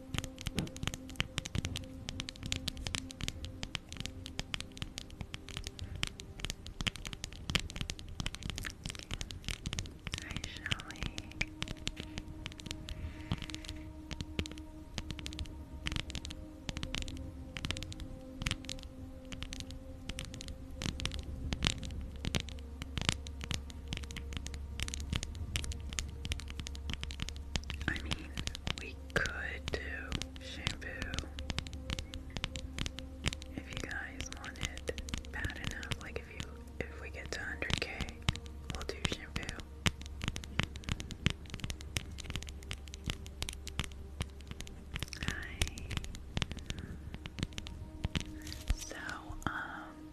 Hi, Shelly. I mean, we could do shampoo if you guys want bad enough. Like if you if we get to 100k, we'll do shampoo. Hi. So um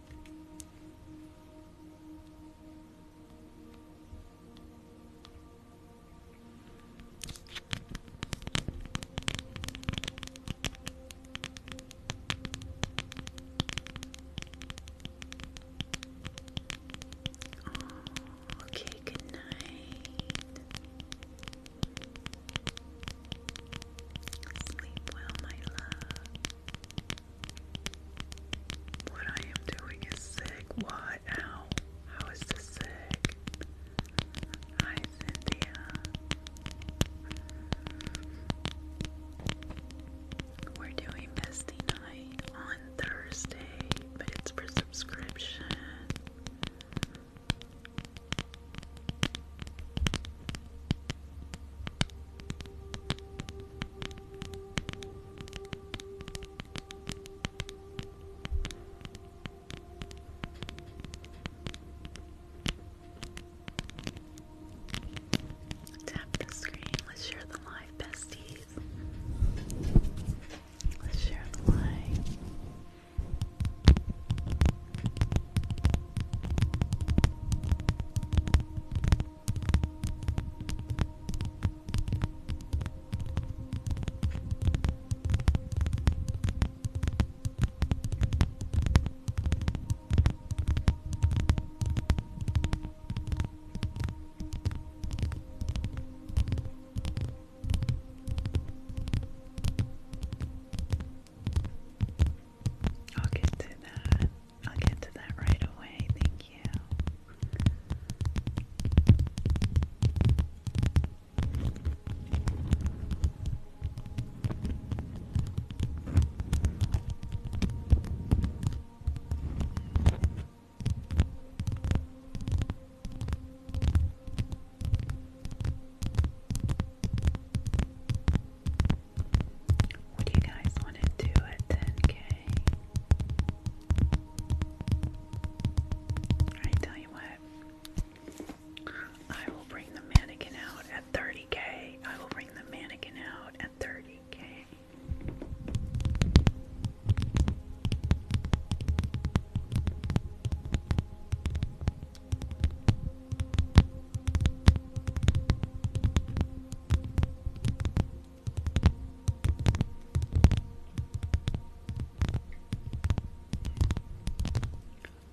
okay, good night. Sleep well, my love. What I am doing is sick. Why? Ow. How is this sick? Hi, Cynthia. We're doing bestie night on Thursday, but it's for subscription. Tap the screen. Let's share the live, besties. Let's share the live. I'll get to that. I'll get to that right away. Thank you. Would you guys want to do a 10k I tell you what, I will bring the mannequin out at 30k. I will bring the mannequin out at 30k.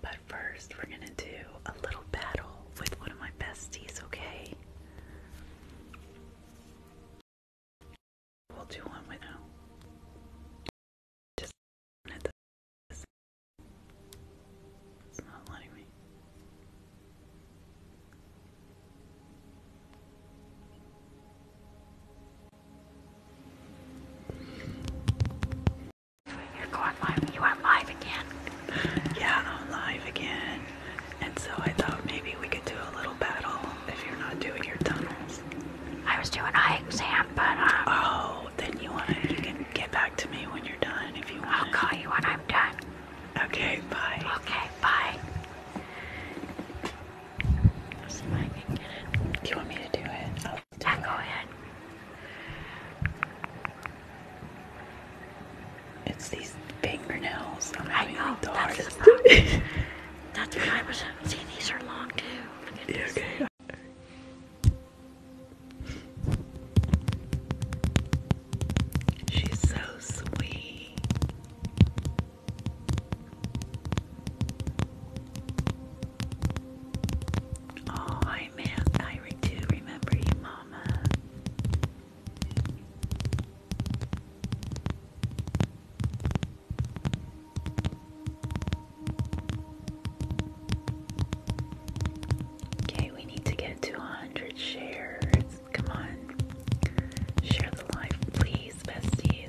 But first, we're going to do a little battle with one of my besties, okay? We'll do one with now. It's not letting me. You're going live. You are live again. Yeah, I'm live again. And so I thought maybe we could do a little battle if you're not doing your tunnels. I was doing eye exam, but um, Oh, then you wanna you can get back to me when you're done if you want. I'll call you when I'm done. Okay, bye. Okay, bye. See if I can get it. Do you want me to do it? I'll do yeah, it. go ahead. It's these fingernails. I'm I know. The that's the problem. that's what I was. See, these are long too. Look at okay. She's so sweet. Oh, I man, I do remember you, Mama. Okay, we need to get to 100 shares. Come on. Share the life, please, bestie.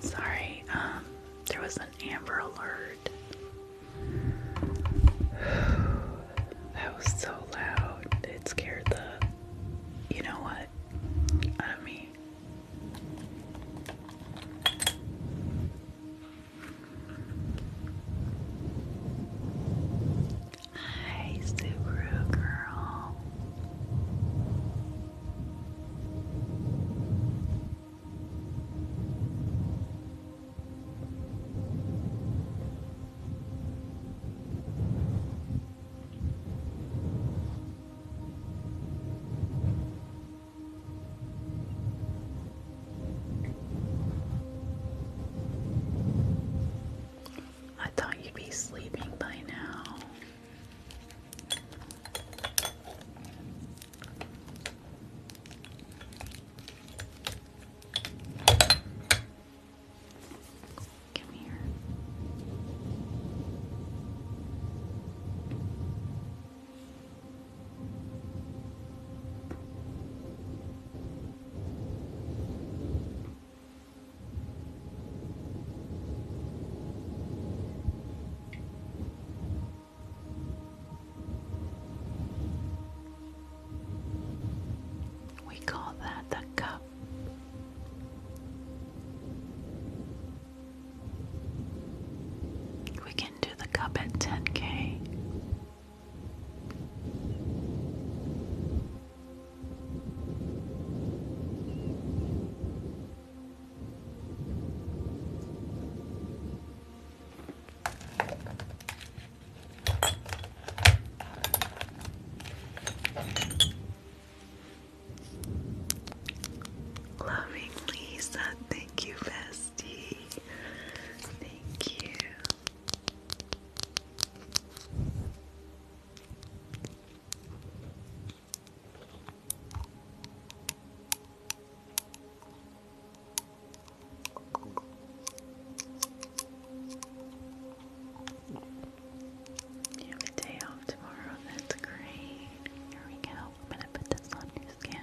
Sorry, um, there was an amber alert that was so loud. It scared the, you know what, out of me. Hi, Subaru I thought you'd be sleeping by now. We call that the cup. We can do the cup at 10k. Loving Lisa, thank you, bestie. Thank you. You have a day off tomorrow. That's great. Here we go. I'm gonna put this on your skin.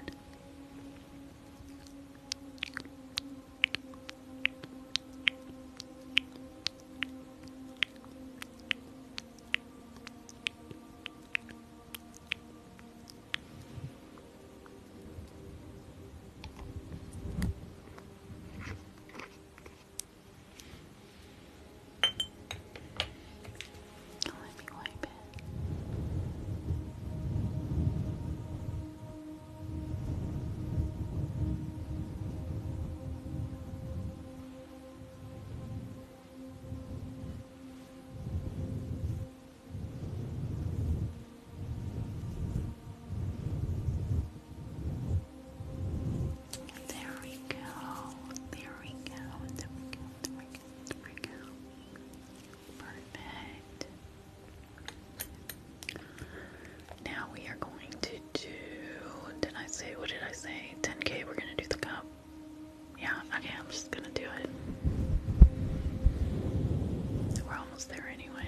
Let me wipe it. There we go. There we go. There we go. Perfect. Now we are going to do. Did I say? What did I say? 10k. We're gonna do the cup. Yeah. Okay. I'm just gonna do it. We're almost there anyway.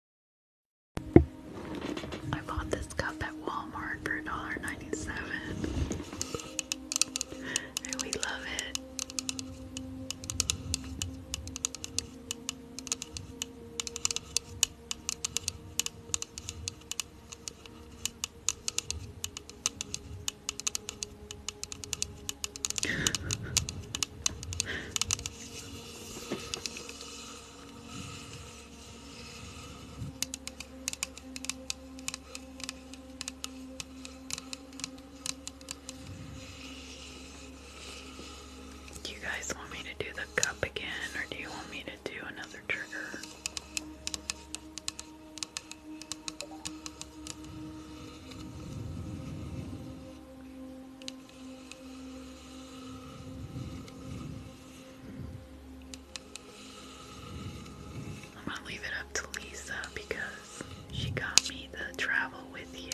I bought this cup at Walmart for $1.97. And we love it. Do you guys want me to do the cup again, or do you want me to do another trigger? I'm gonna leave it up to Lisa because she got me to travel with you.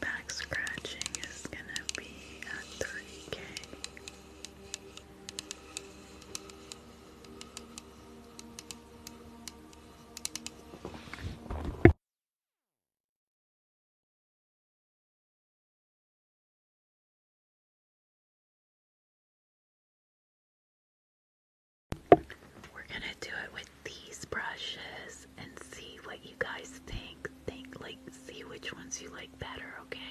Back scratching is gonna be at 30k. We're going to do it with these brushes and see what you guys think. Think like see which ones you like better, okay?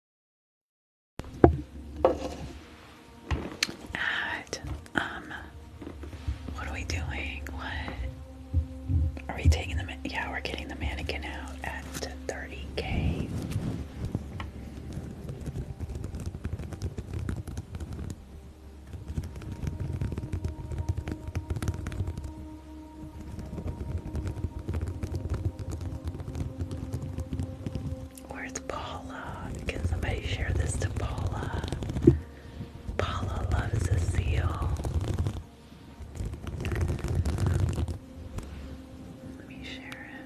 At, um, what are we doing? What are we taking the? Yeah, we're getting the mannequin out at 30k. Where's Paula? Can somebody share this to Paula? Paula loves a seal. Let me share it.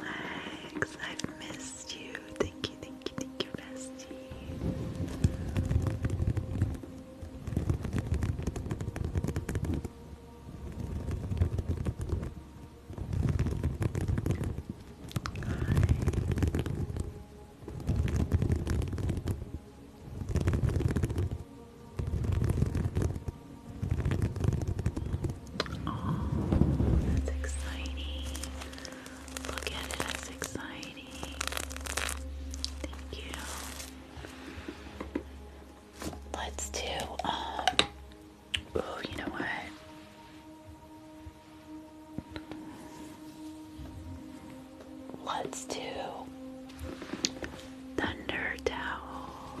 Legs, I've missed you. Thank you, thank thank you, that's exciting. Look at it, that's exciting. Thank you. Let's do, um, oh, you know what? Let's do thunder towel.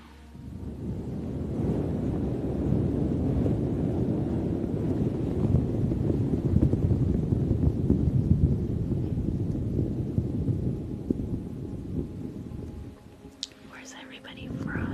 Where's everybody from?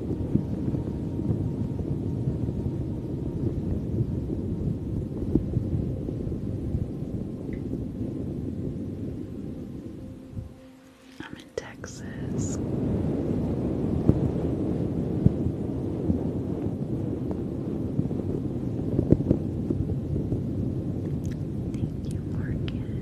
I'm in Texas. Thank you, Morgan.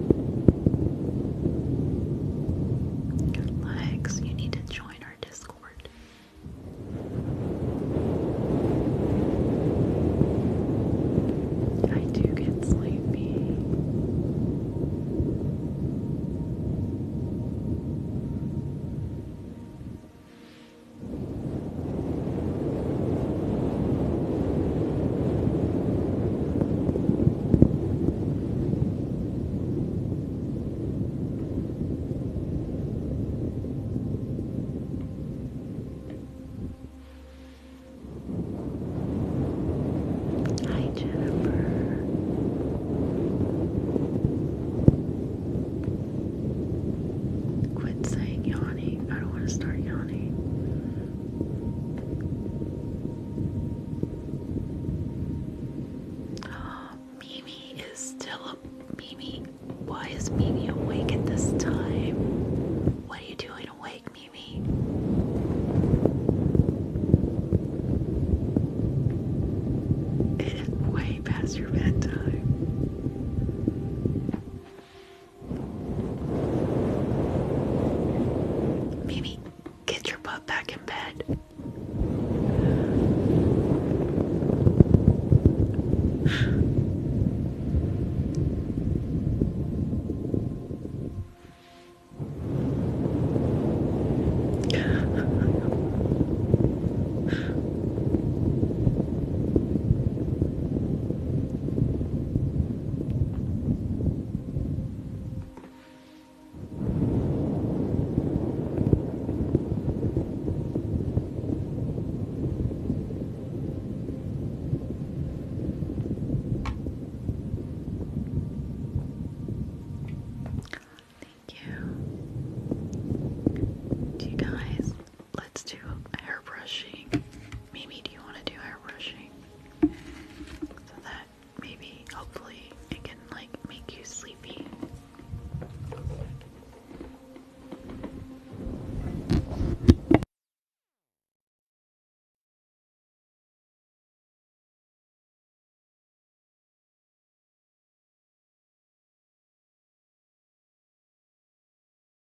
Lex, you need to join our Discord. I do get sleepy. Hi, Jennifer. Quit saying yawning. I don't want to start yawning. Mimi is still Mimi. Why is Mimi awake at this time? What are you doing awake, Mimi? It is way past your bedtime. Mimi, get your butt back in bed. Thank you. Do you guys? Let's do hair brushing. Mimi, do you want to do hair brushing? So that maybe, hopefully, it can like make you sleepy.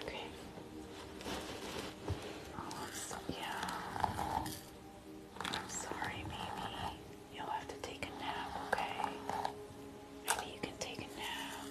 Okay. yeah. I'm sorry, Mimi. You'll have to take a nap, okay? Maybe you can take a nap.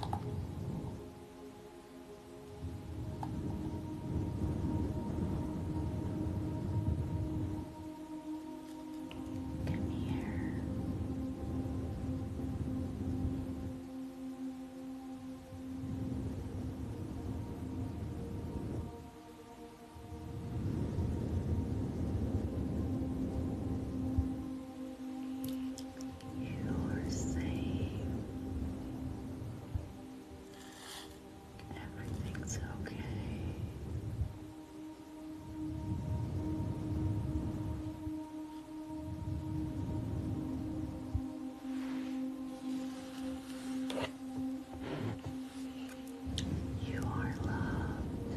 Come here. Good. You're safe. Everything's okay. You are loved.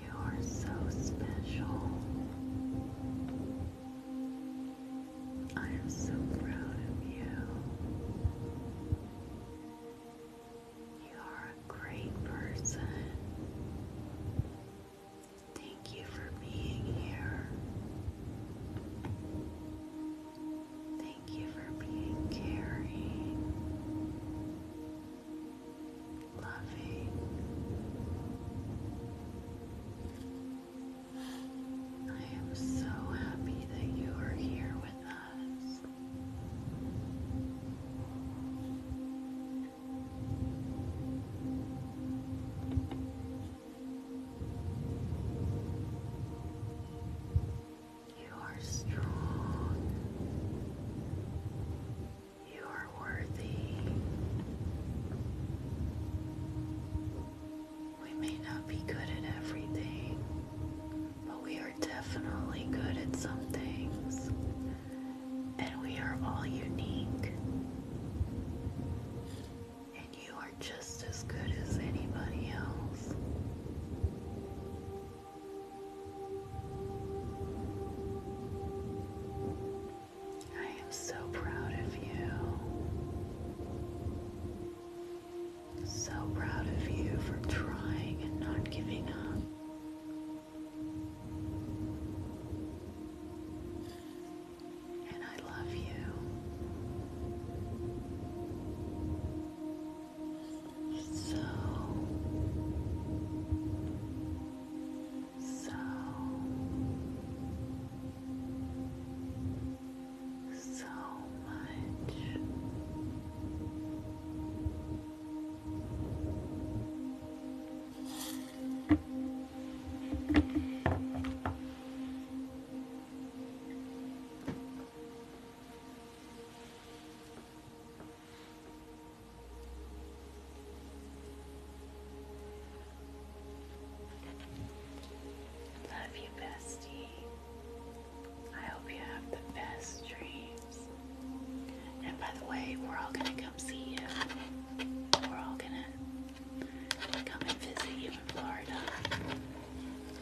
You are so special. I am so proud of you. You are a great person. Thank you for being here. Thank you for being caring, loving. I am so happy that you are here with us. You are strong. You are worthy. We may not be good at everything, but we are definitely good at some things. And we are all unique and you are just as good as anybody else. I am so proud of you. So proud of you for trying and not giving up. I love you. So, so, so much. Love you, bestie. I hope you have the best dreams. And by the way, we're all gonna come see you. We're all gonna come and visit you in Florida.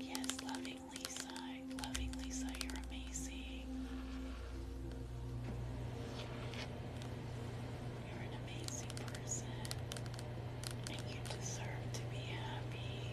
Yes, loving Lisa. Loving Lisa, you're amazing. You're an amazing person. you deserve to be happy.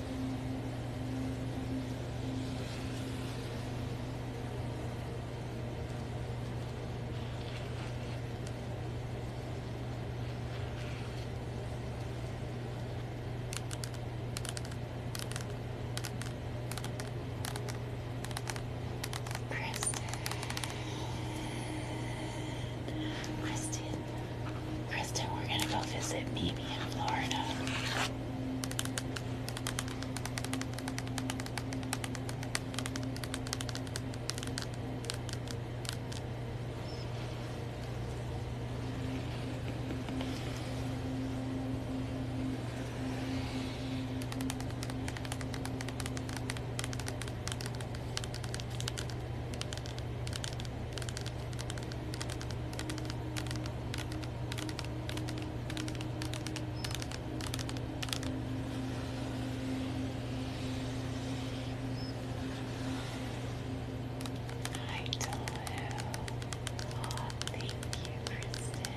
Kristen. Kristen. Kristen, we're gonna go visit me people in Florida. Hi, Tolu. Oh, thank you, Kristen.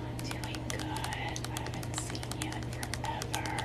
I'm doing good. I haven't seen you in forever.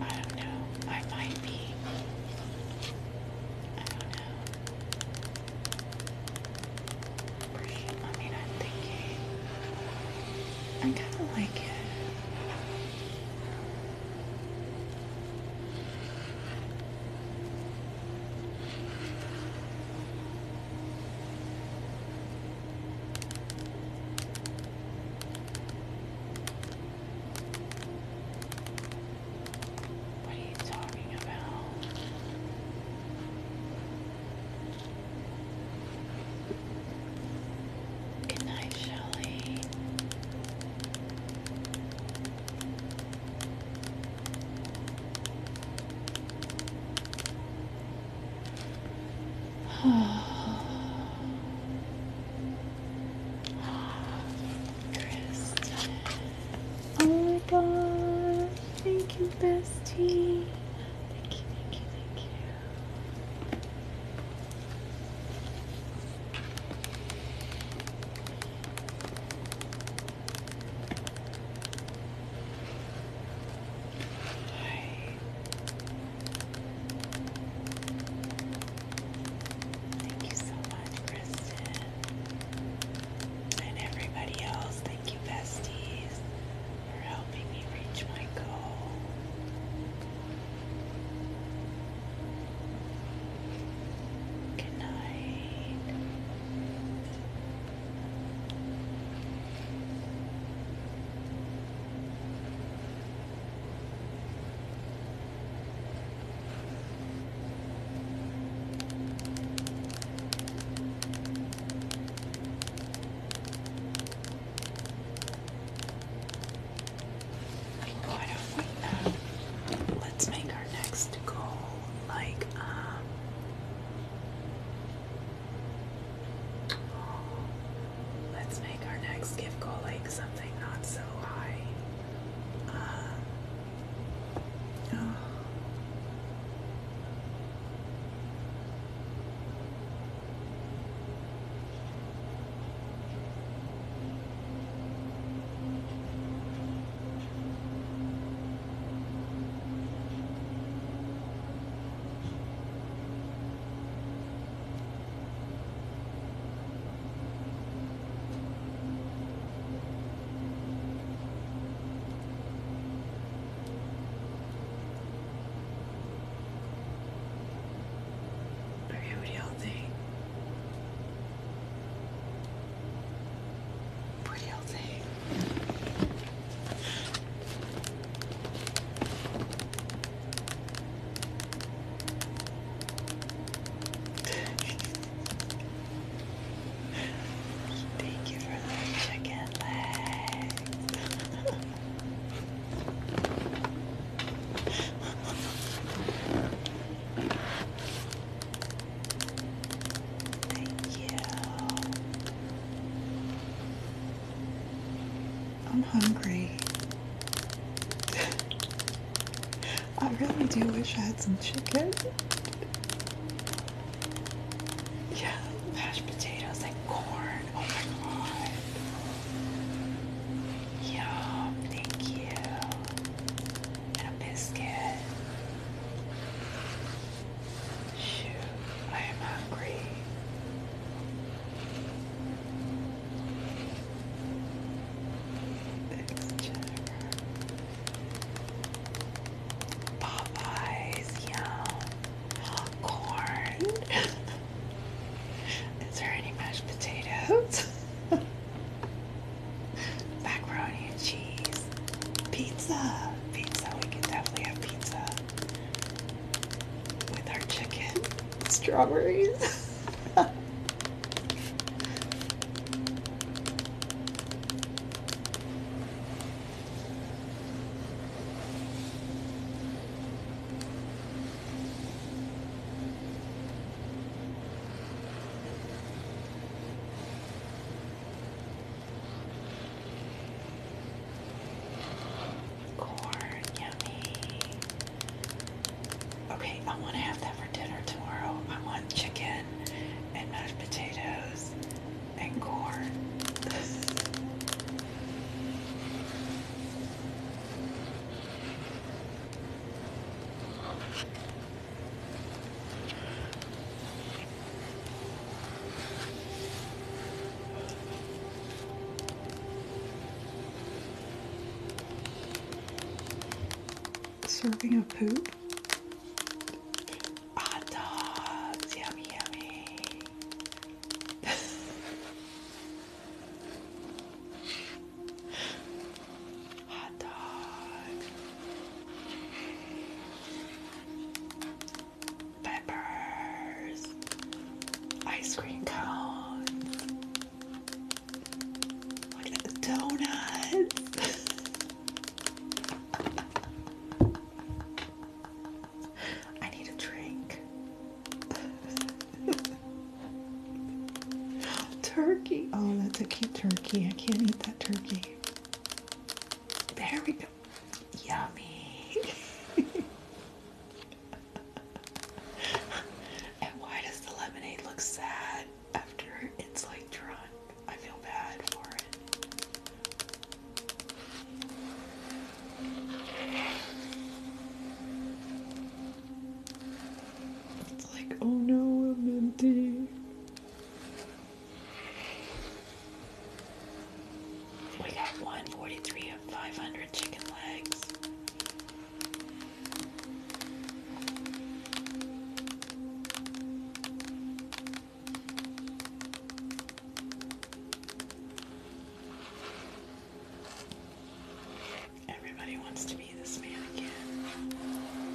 I don't know. I might be. I don't know. Pretty, I mean, I'm thinking. I kind of like it. What are you talking about? Good night, Shelley. Kristen. Oh my god. Thank you, bestie. Thank you, thank you, thank you. Thank you so much, Kristen. And everybody else, thank you, besties, for helping me reach my goal. Good let's make our next goal like, um, Let's make our next gift go like something not so high. Uh, Beauty healthy. Pretty Thank you for that chicken legs. Thank you. I'm hungry. I really do wish I had some chicken. Yeah, mashed potatoes and corn. Oh my god. Yum, thank you. And a biscuit. Shoot, I am hungry. There's Popeyes, yum. Corn. Is there any mashed potatoes? Macaroni and cheese. Pizza. Pizza. We can definitely have pizza with our chicken strawberries. Corn, yummy. Okay, I want to have that for dinner tomorrow. I want chicken and mashed potatoes and corn. Serving of poop. Hot ah, dogs, yummy, yummy. Hot dog peppers, ice cream cones, look I need a drink. turkey. Oh, that's a cute turkey. I can't eat that turkey. There we go. Yummy. and why does the lemonade look sad after it's like drunk? I feel bad for it. It's like, oh no, I'm empty. We got 143 of 500 chicken legs. Everybody wants to be this man again. yeah.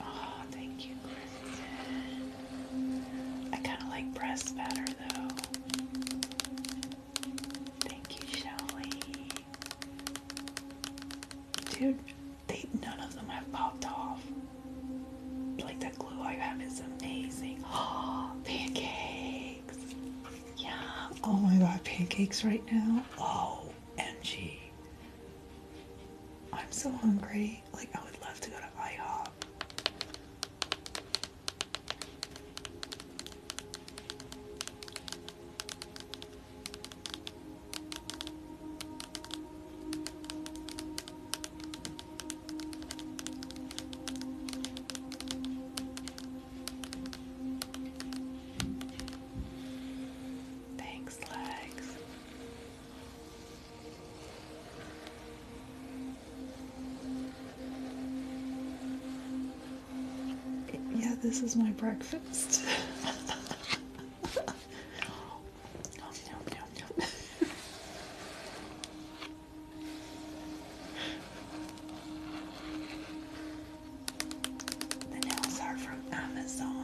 Oh, thank you, I kind of like breasts better, though. Thank you, Shelly. Dude, none of them have popped off. Like that glue I have is amazing. Oh, pancakes. Yeah. Oh my god, pancakes right now. Oh, MG. I'm so hungry. Like, I would love to go to IHOP. Thanks, legs. Yeah, this is my breakfast. The nails are from Amazon.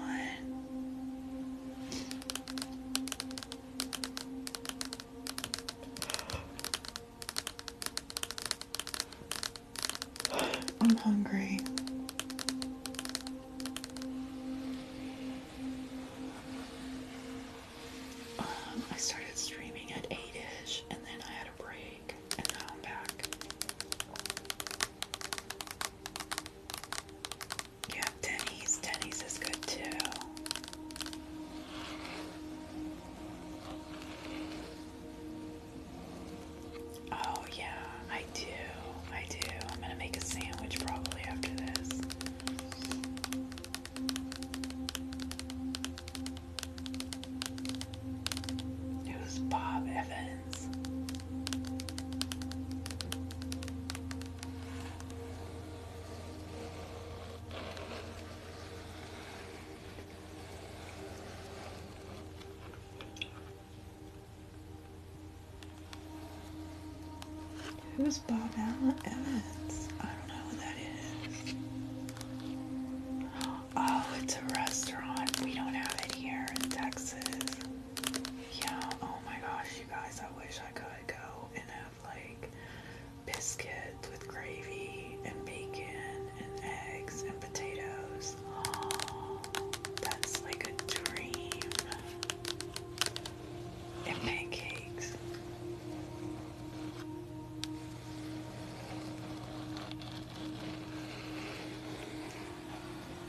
I'm hungry. Um, I started streaming at 8 ish and then I had a break and now I'm back. You have Denny's. Denny's is good too. Oh, yeah, I do. I do. I'm going to make a sandwich probably after this. It Bob Evans. Who's Bob Allen Evans? I don't know who that is. Oh, it's a restaurant. We don't have it here in Texas. Yeah, oh my gosh, you guys, I wish I could go and have like biscuits with gravy and bacon and eggs and potatoes. Oh, that's like a dream. And pancakes.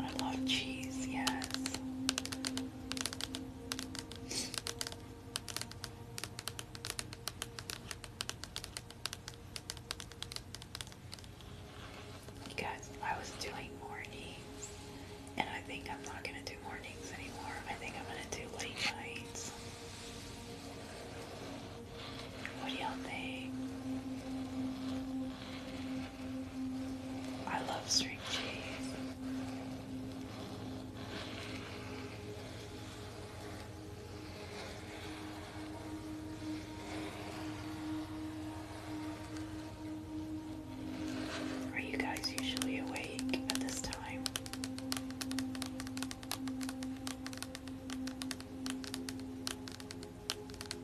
I love cheese, yes. You guys, I was doing mornings, and I think I'm not gonna do mornings anymore. I think I'm gonna do late nights. What do y'all think? I love string cheese. Are you guys usually awake at this time?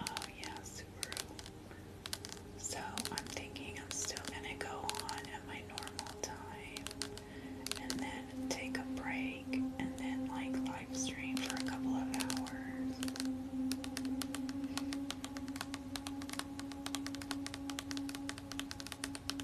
Oh yeah, So I'm thinking I'm still gonna go on at my normal time and then take a break and then like live stream for a couple of hours.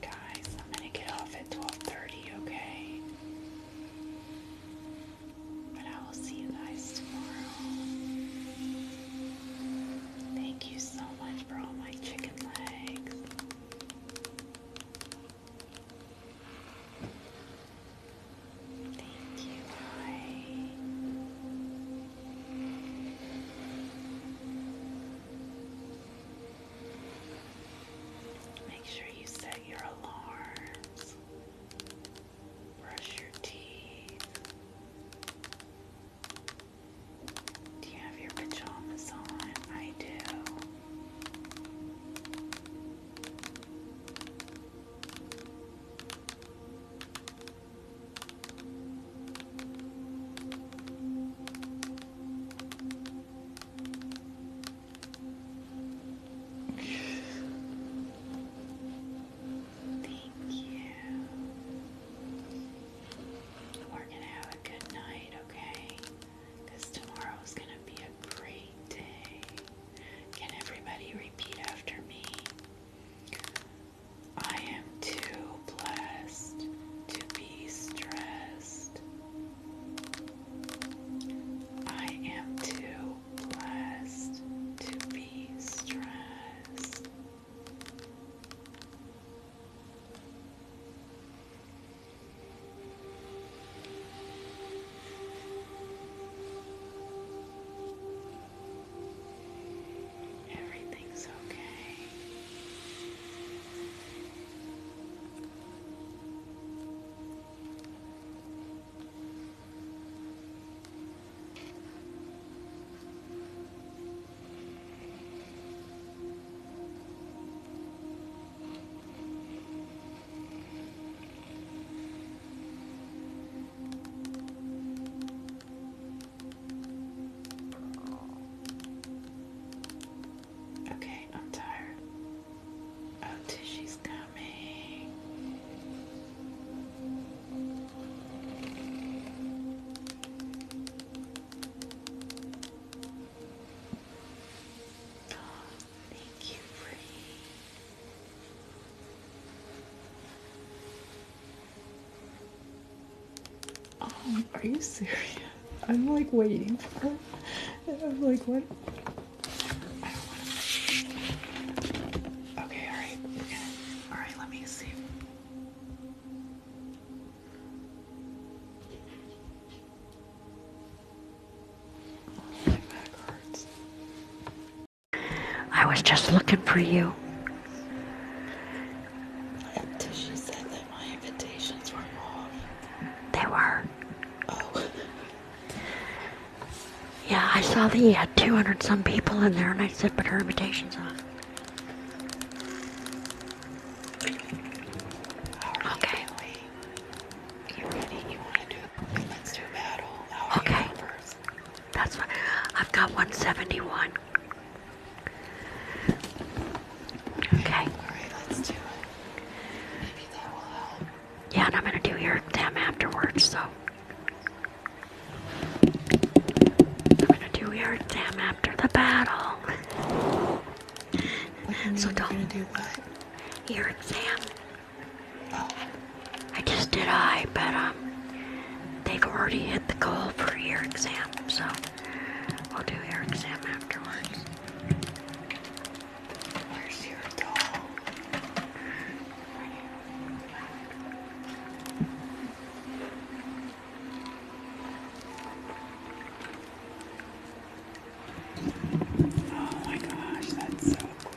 Guys, I'm gonna get off at 12:30, okay? But I will see you guys tomorrow. Thank you so much for all my chicken legs. Thank you. Bye. Make sure you set your alarms, brush your teeth. Do you have your pajamas on? I do. Thank you. We're going to have a good night, okay? Because tomorrow's going to be a great day. Can everybody repeat after me? I am too blessed to be stressed. I am too blessed to be stressed. Everything's okay. Okay, I'm tired. Oh, Tishy's coming. Oh, thank you, Free. Um, are you serious? I'm like waiting for her. I'm like, what? Okay, alright. Alright, let me see. my back hurts. I was just looking for you. Tisha said that my invitations were off. They were. Oh. Yeah, I saw that you had 200 some people in there, and I said, but her invitation's are. Right, okay. You ready? You want to do? Let's do battle. okay. That's what I've got 171. Okay. Yeah, and I'm gonna do your exam afterwards, so I'm gonna do your exam after the battle. so don't do what? Your exam. Oh. I just did I, but um they've already hit the goal for ear exam, so we'll do ear exam afterwards. Where's your doll? Oh my gosh, that's so cool.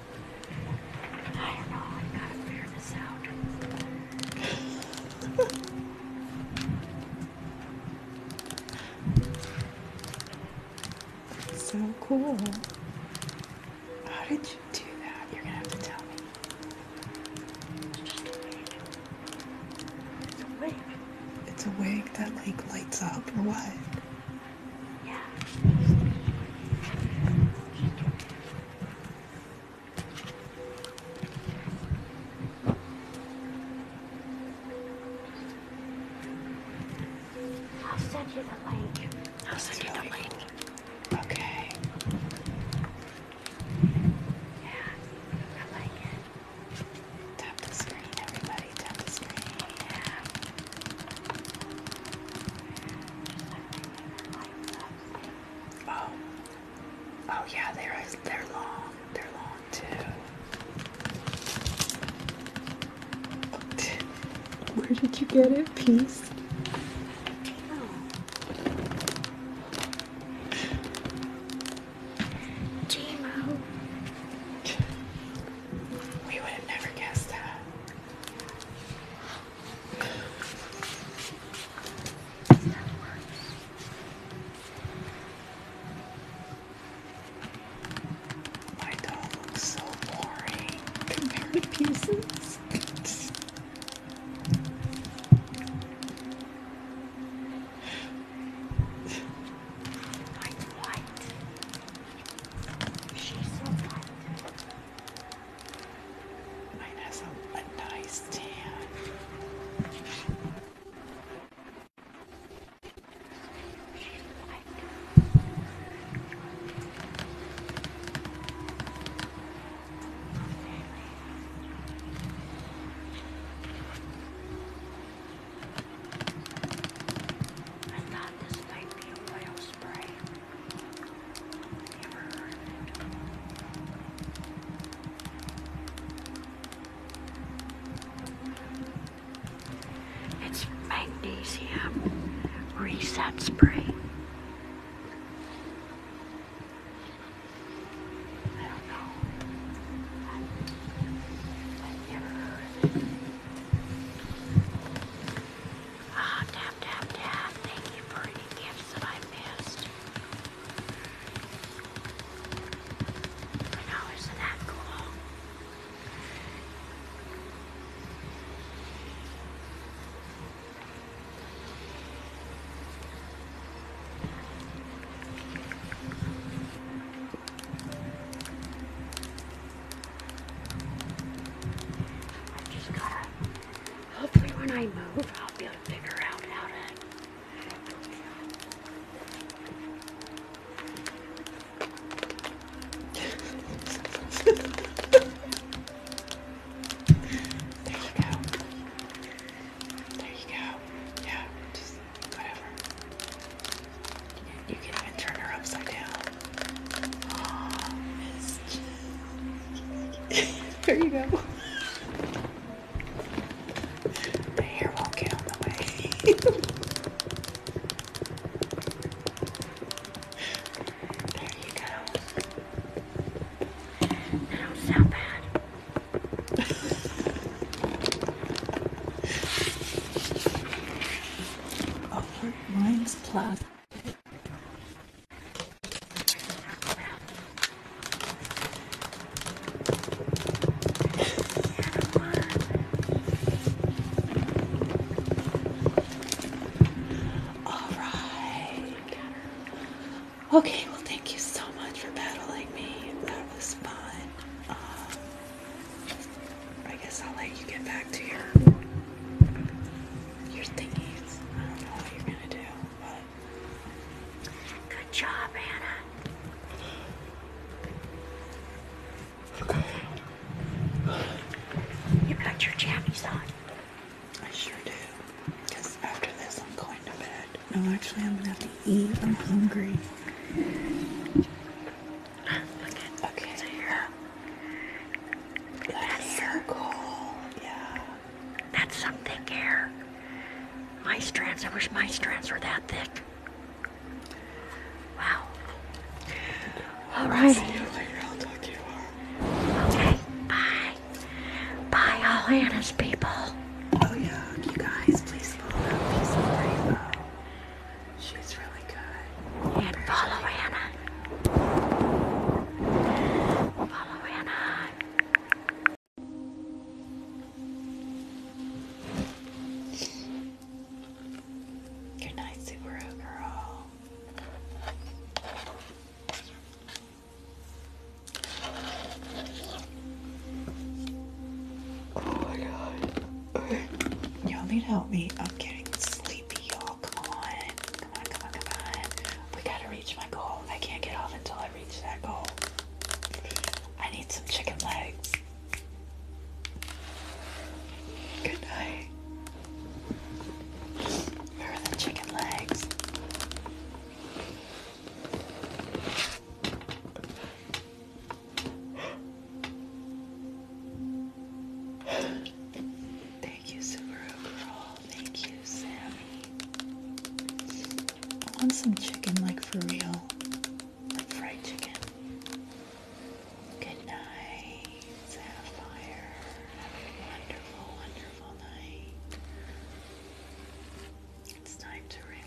so cool. How did you do that? You're gonna have to tell me. It's a wig. It's a wig. It's a wig that like lights up or what? Yeah. I'll send you the link. I'll send you the link. Okay. Yeah, I like Tap the screen, everybody. Tap the screen. Yeah. Oh, oh yeah, they're they're long. They're long too. Where did you get it, peace? Gmo. We would have never guessed that. My doll looks so boring compared to pieces. I'm white. She's so white. Mine has a, a nice tan. I thought this might be a oil spray. It's magnesium reset spray. I don't know. Ah, oh, tap, tap, Thank you for any gifts that I missed. I know, is that cool? I just gotta Hopefully when I move, I'll be able to figure out how to... there you go. There you go. Yeah, just whatever. You can even turn her upside down there you go. The hair won't get on the way. there you go. I don't sound bad. oh, mine's all right. Okay, well, thank you so much for battling me. That was fun. Um, I guess I'll let you get back to your your thingies. I don't know what you're gonna do, but good job, Anna. Okay. You got your jammies on. I sure do. after this, I'm going to bed. No, actually, I'm gonna have to eat. I'm hungry. Okay. Okay. That's so cool. Yeah. That's some thick hair. My strands, I wish my strands were that thick. Wow. All right. Okay. Bye. Bye, all Anna's people. Oh yeah, you guys, please follow She's really good. And follow Anna. Follow Anna. Good night, Subaru Oh my god. Y'all need to help me. I'm getting sleepy, y'all. Come on. Come on, come on, come on. We gotta reach my goal. I can't get off until I reach that goal. I need some chicken legs. Good night. Where are the chicken legs? Thank you, Subaru thank you, Sammy. I want some chicken, like for real, like fried chicken. Good night, Sapphire. Have a wonderful, wonderful night. It's time to relax.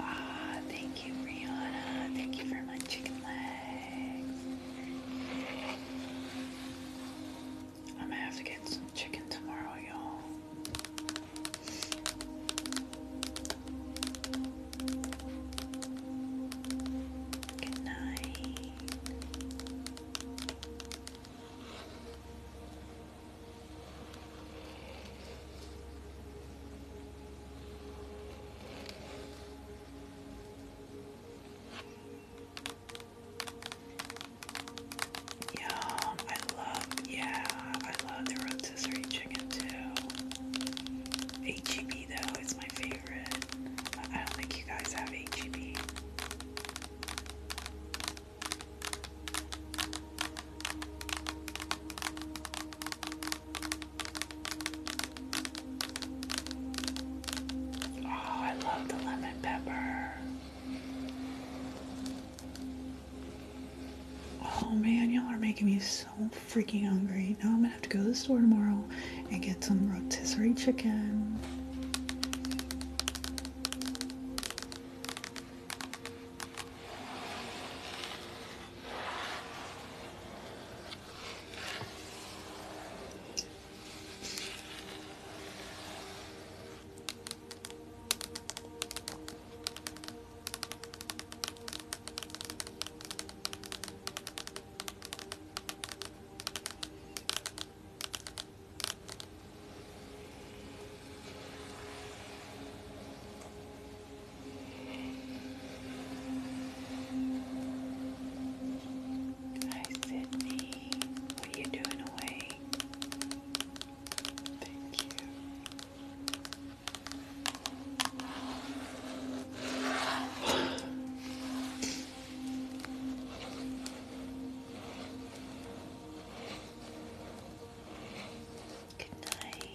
Ah, thank you, Rihanna. Thank you for my chicken legs. I'm gonna have to get some chicken tomorrow, y'all. Good night. Yum. I love, yeah, I love the rotisserie chicken too. HEB though is my favorite. I don't think you guys have HEB. Oh, I love the lemon pepper. Oh man, y'all are making me so freaking hungry. Now I'm gonna have to go to the store tomorrow and get some rotisserie chicken. Hi Sydney, what are you doing away? Thank you. Good night.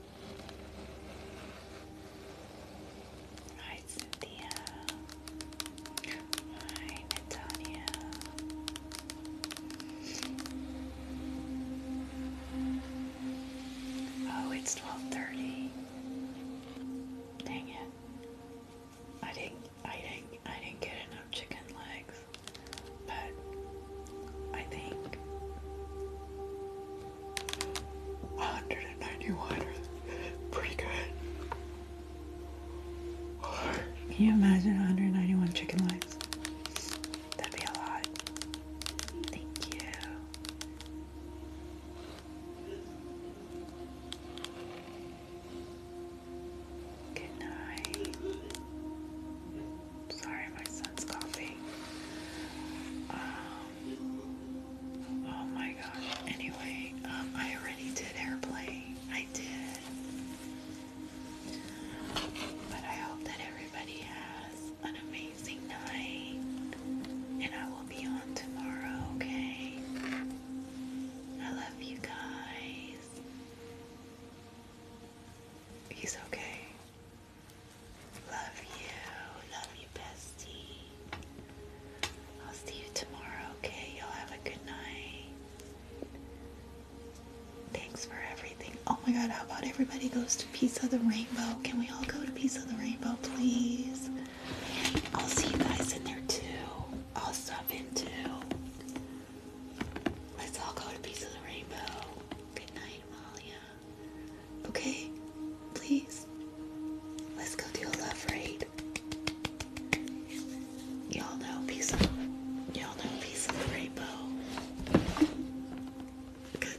Hi, Cynthia. Hi, Natalia. Oh, it's 12:30. Dang it. I didn't I didn't I didn't get enough chicken legs. But I think 191 pretty good. Can you imagine 191 chicken legs? That'd be a lot. Thank you. Good night. Sorry, my son's coughing. Um, Oh my gosh. Anyway, um, I already did airplay. I did. But I hope that everybody has an amazing night. And I will be on tomorrow, okay? I love you guys. He's okay. Love you. Love you, bestie. I'll see you tomorrow, okay? Y'all have a good night. Thanks for everything. Oh my god, how about everybody goes to Piece of the Rainbow? Can we all go to Piece of the Rainbow, please? I'll see you guys in there too. I'll stop in too. Let's all go to Piece the Rainbow. Good night, Amalia. Okay? Please. Let's go do a love raid. Y'all know peace of y'all know peace of the rainbow.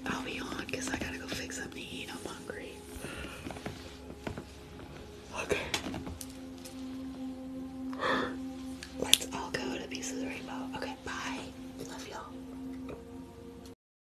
I'll be on because I gotta go fix something to eat. I'm hungry. Okay. Let's all go to Pieces of the Rainbow. Okay, bye. Love y'all.